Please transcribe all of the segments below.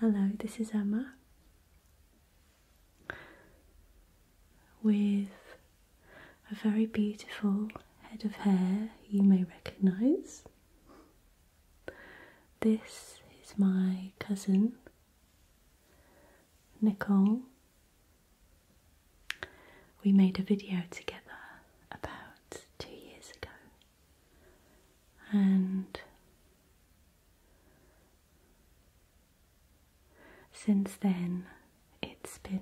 Hello, this is Emma with a very beautiful head of hair you may recognise. This is my cousin Nicole. We made a video together about two years ago and since then it's been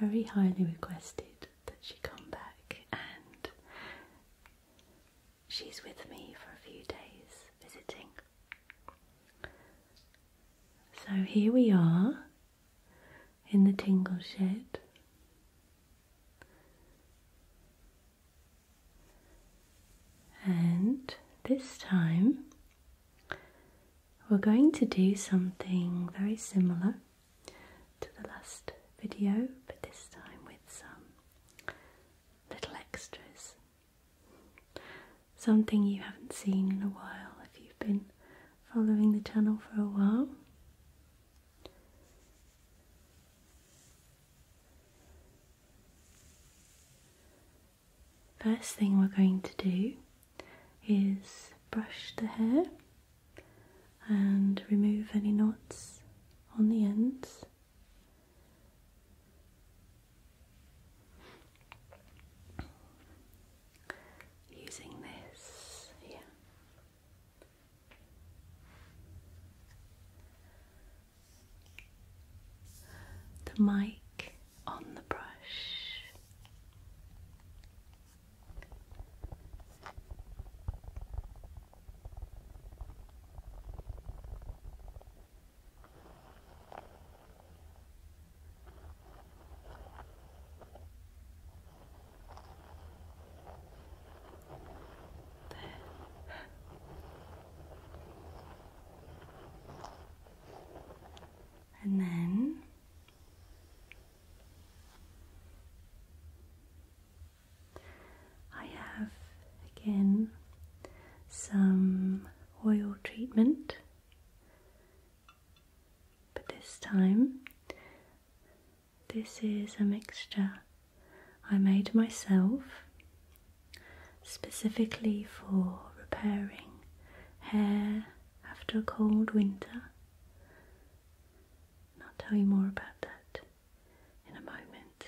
very highly requested that she come back and she's with me for a few days visiting. So here we are in the tingle shed. And this time we're going to do something very similar to the last video, but this time with some little extras. Something you haven't seen in a while if you've been following the channel for a while. First thing we're going to do is brush the hair and remove any knots on the ends. Using this, yeah, the mic on the brush. And then I have again some oil treatment, but this time this is a mixture I made myself specifically for repairing hair after a cold winter. I'll tell you more about that in a moment.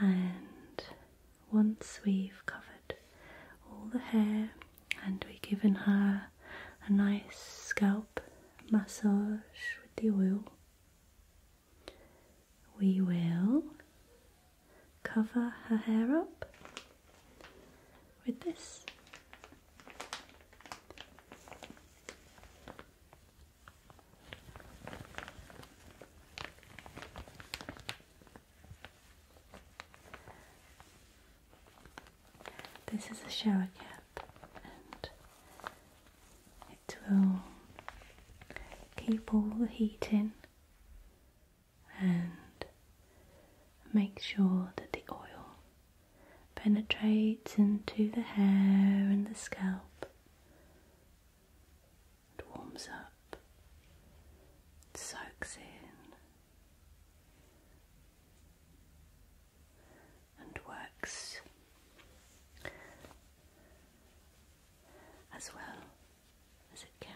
And once we've covered all the hair and we've given her a, nice scalp massage with the oil. We will cover her hair up with this. This is a shower cap and it will keep all the heat in and make sure that the oil penetrates into the hair and the scalp. It warms up, it soaks in, and works as well as it can.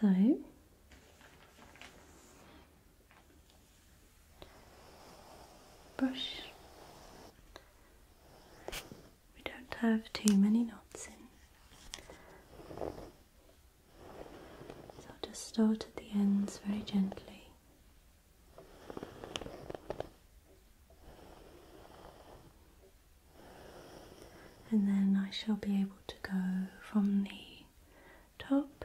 So brush. We don't have too many knots in. So I'll just start at the ends very gently. And then I shall be able to go from the top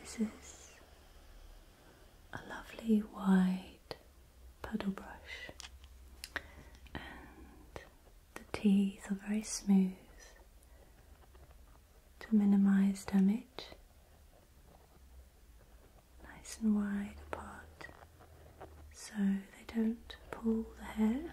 This is a lovely wide paddle brush, and the teeth are very smooth to minimize damage. Nice and wide apart so they don't pull the hair.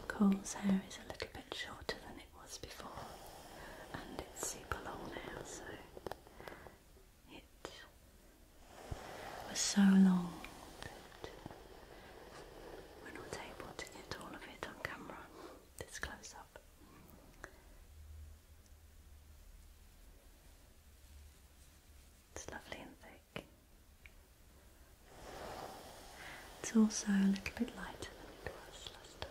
Nicole's hair is a little bit shorter than it was before, and it's super long now, so it was so long that we're not able to get all of it on camera, this close up. It's lovely and thick. It's also a little bit lighter than it was last time.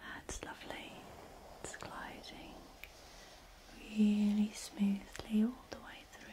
That's lovely. It's gliding really smoothly all the way through.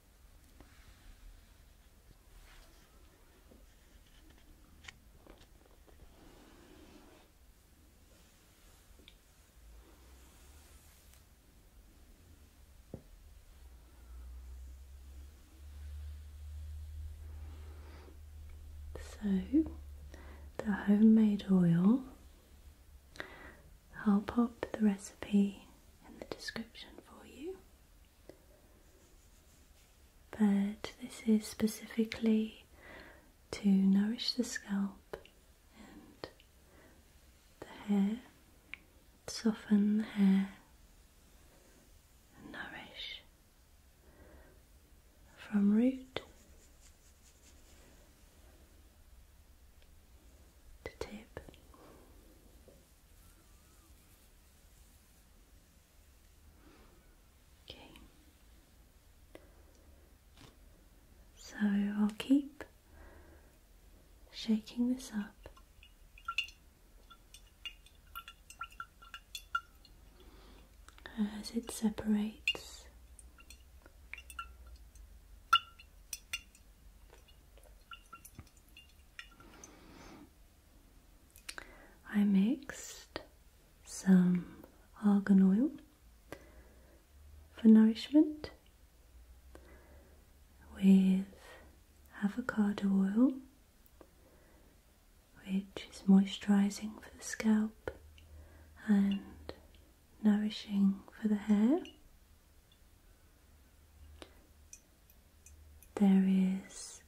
So, the homemade oil, I'll pop the recipe in the description for you but this is specifically to nourish the scalp and the hair, soften the hair, nourish from root to tip. Okay. So I'll keep shaking this up. As it separates, I mixed some argan oil for nourishment with avocado oil, which is moisturizing for the scalp and nourishing for the hair. There is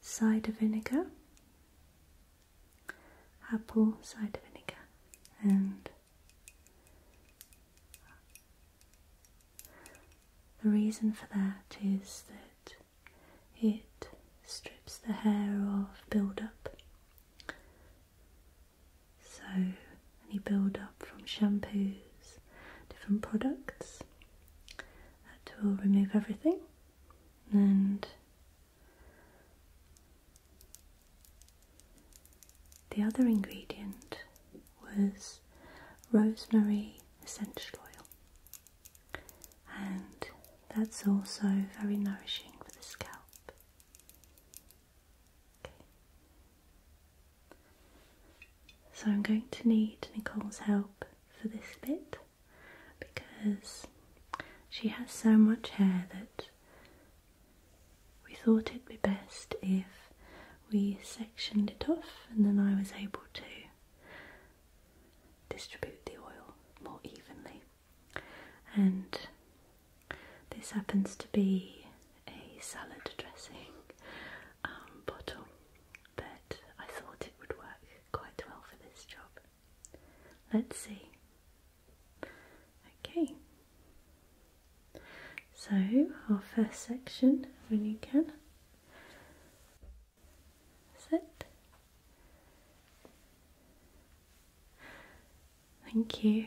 cider vinegar, apple cider vinegar, and the reason for that is that it strips the hair of build-up. So any build-up from shampoos different products. That will remove everything and the other ingredient was rosemary essential oil, and that's also very nourishing for the scalp. So I'm going to need Nicole's help for this bit because she has so much hair that we thought it'd be best if we sectioned it off and then I was able to distribute the oil more evenly. And this happens to be a salad dressing um, bottle, but I thought it would work quite well for this job. Let's see. Okay, so our first section when you can sit. Thank you.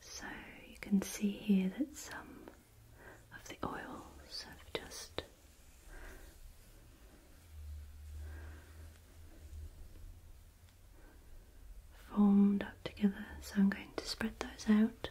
So you can see here that some of the oils have just formed up together, so I'm going to spread those out.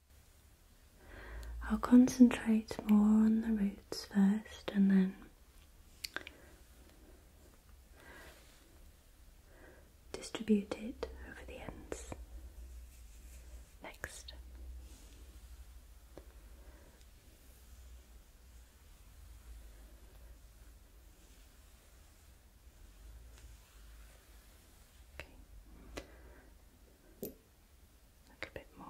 I'll concentrate more on the roots first and then distribute it over the ends. Next. Like a bit more.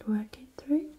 Twenty three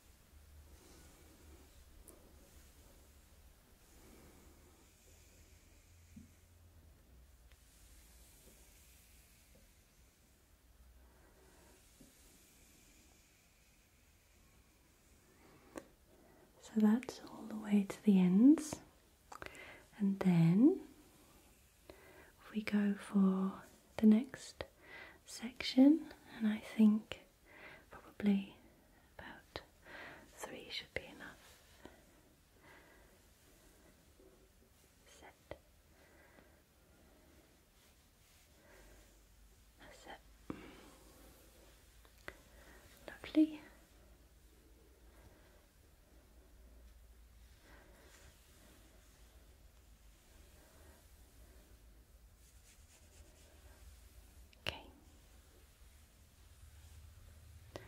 So that's all the way to the ends. And then we go for the next section, and I think Probably about three should be enough. Set. That's Lovely. Okay. So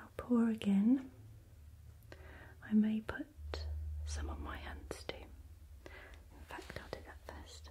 I'll pour again. I may put some on my hands too. In fact, I'll do that first.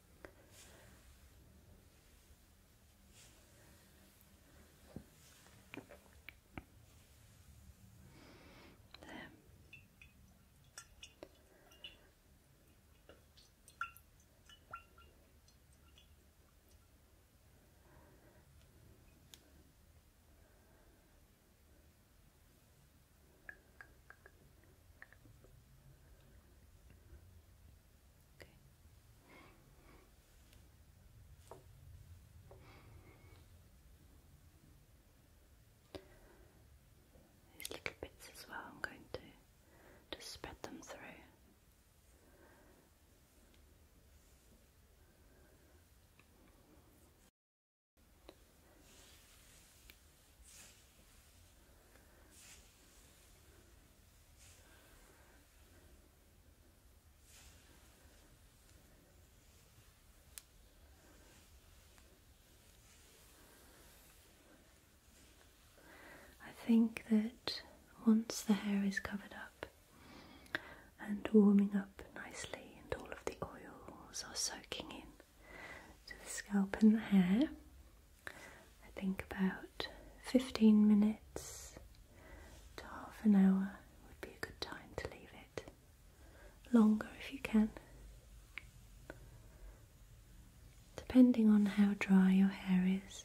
There. Good. These little bits as well, I'm going to just spread them through. I think that once the hair is covered up and warming up nicely, and all of the oils are soaking in to the scalp and the hair, I think about 15 minutes to half an hour would be a good time to leave it. Longer if you can. Depending on how dry your hair is.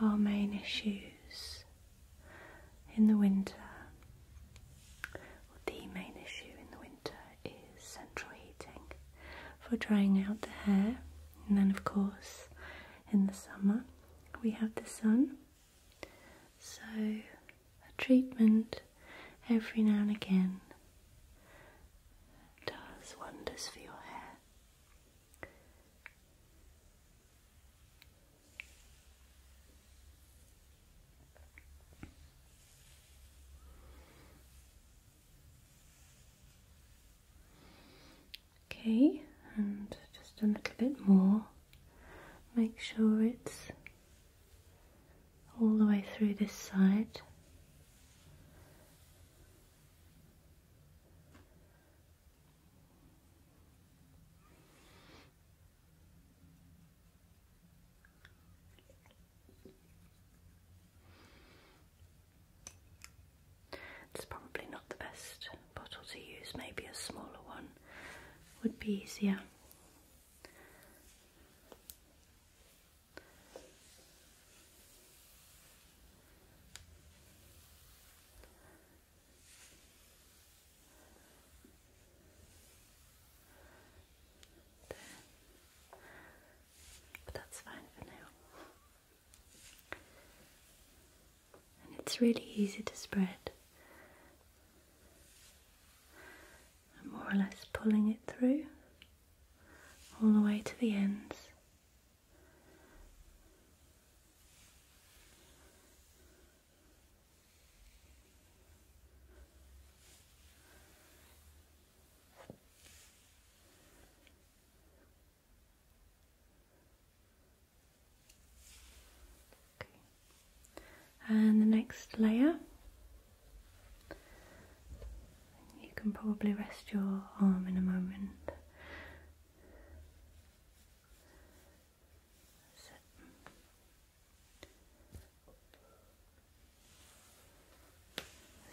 Our main issues in the winter, or the main issue in the winter, is central heating for drying out the hair, and then, of course, in the summer, we have the sun so, a treatment every now and again does wonders for your hair. Okay, and just a little bit more make sure it's all the way through this side It's probably not the best bottle to use, maybe a smaller one would be easier. But that's fine for now and it's really easy to spread. I'm more or less pulling it through all the way to the ends. And the next layer, you can probably rest your arm in a moment. There's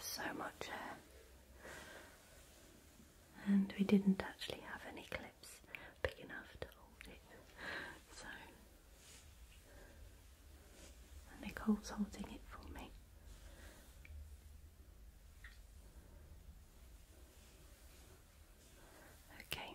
so much hair, and we didn't actually have any clips big enough to hold it. So, Nicole's holding it for me. Okay.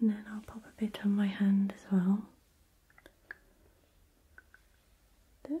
And then I'll pop a bit on my hand as well. There.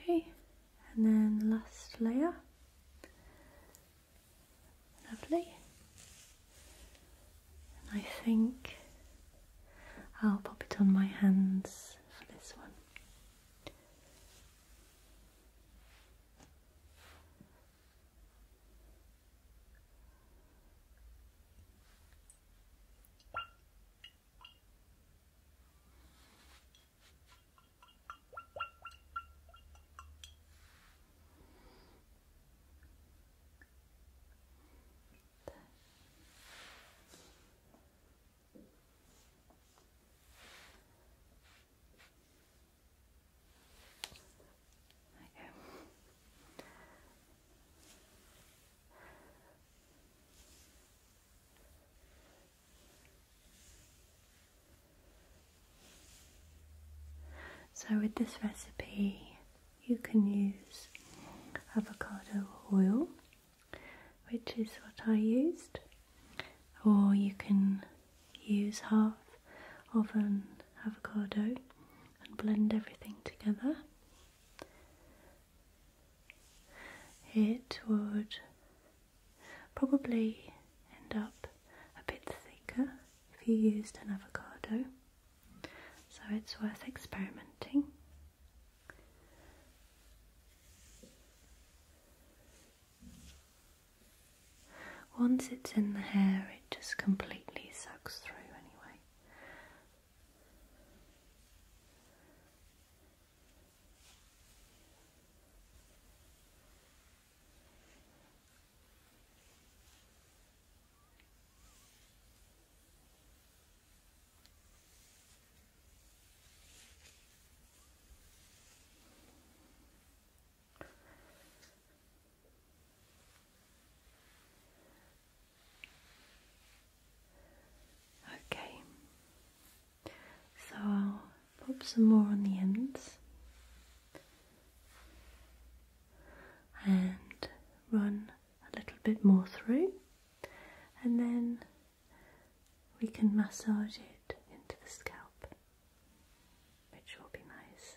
Okay, and then last layer. Lovely. And I think I'll pop it on my hands for this one. So, with this recipe, you can use avocado oil, which is what I used, or you can use half of an avocado and blend everything together. It would probably end up a bit thicker if you used an avocado. So it's worth experimenting. Once it's in the hair, it just completely sucks through anyway. Okay, so I'll pop some more on the ends and run a little bit more through, and then we can massage it into the scalp, which will be nice.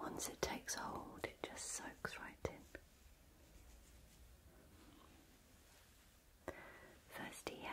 Once it takes hold, it just soaks right in. Thirsty hair.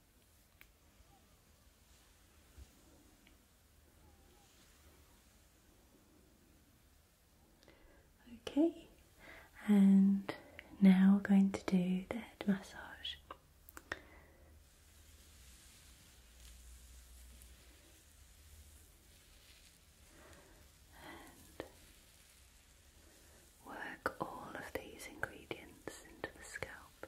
Okay, and now we're going to do the head massage. And work all of these ingredients into the scalp.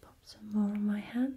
pop some more on my hands.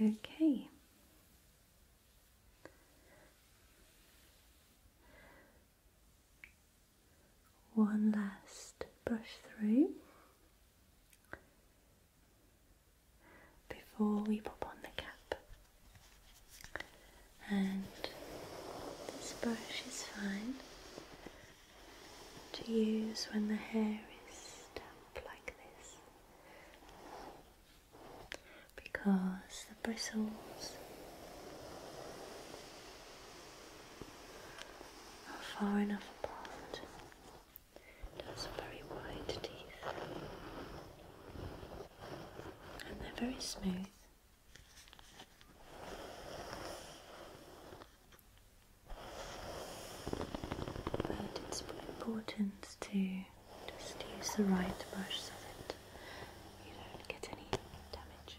Okay. One last brush through before we pop on the cap. And this brush is fine to use when the hair is damp like this because the bristles are far enough apart it has very wide teeth. And they're very smooth. But it's important to just use the right brush so that you don't get any damage.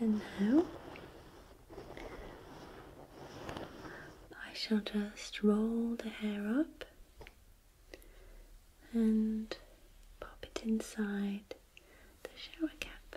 And now I shall just roll the hair up and pop it inside the shower cap.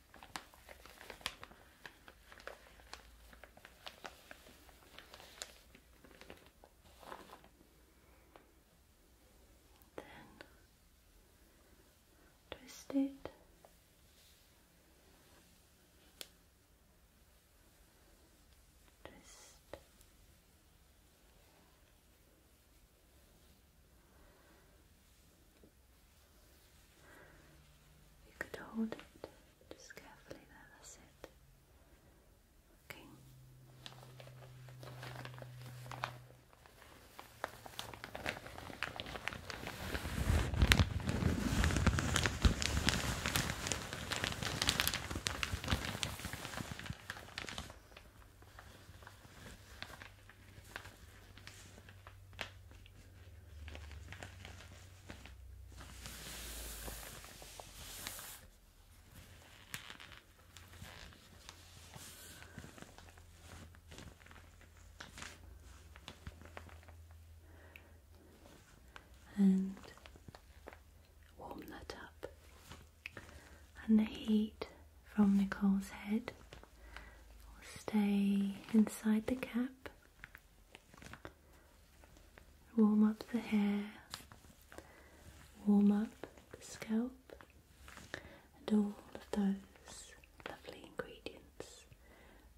Then twist it. Twist. You could hold it just carefully there, that's it. Okay and warm that up. And the heat from Nicole's head stay inside the cap, warm up the hair, warm up the scalp, and all of those lovely ingredients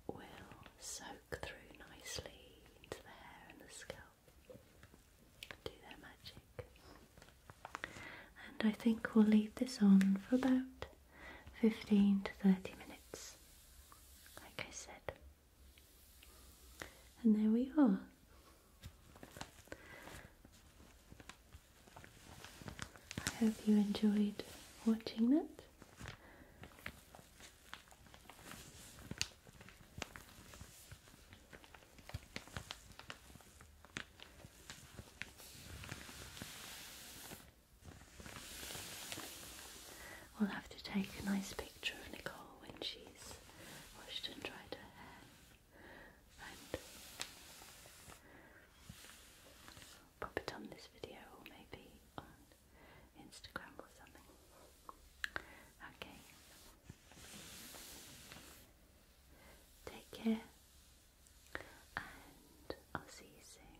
will soak through nicely into the hair and the scalp, do their magic. And I think we'll leave this on for about 15 to 30 minutes, like I said. And there we are. I hope you enjoyed watching that. We'll have to take a nice picture of Nicole when she's washed and dried her hair. And pop it on this video or maybe on Instagram or something. Okay. Take care, and I'll see you soon.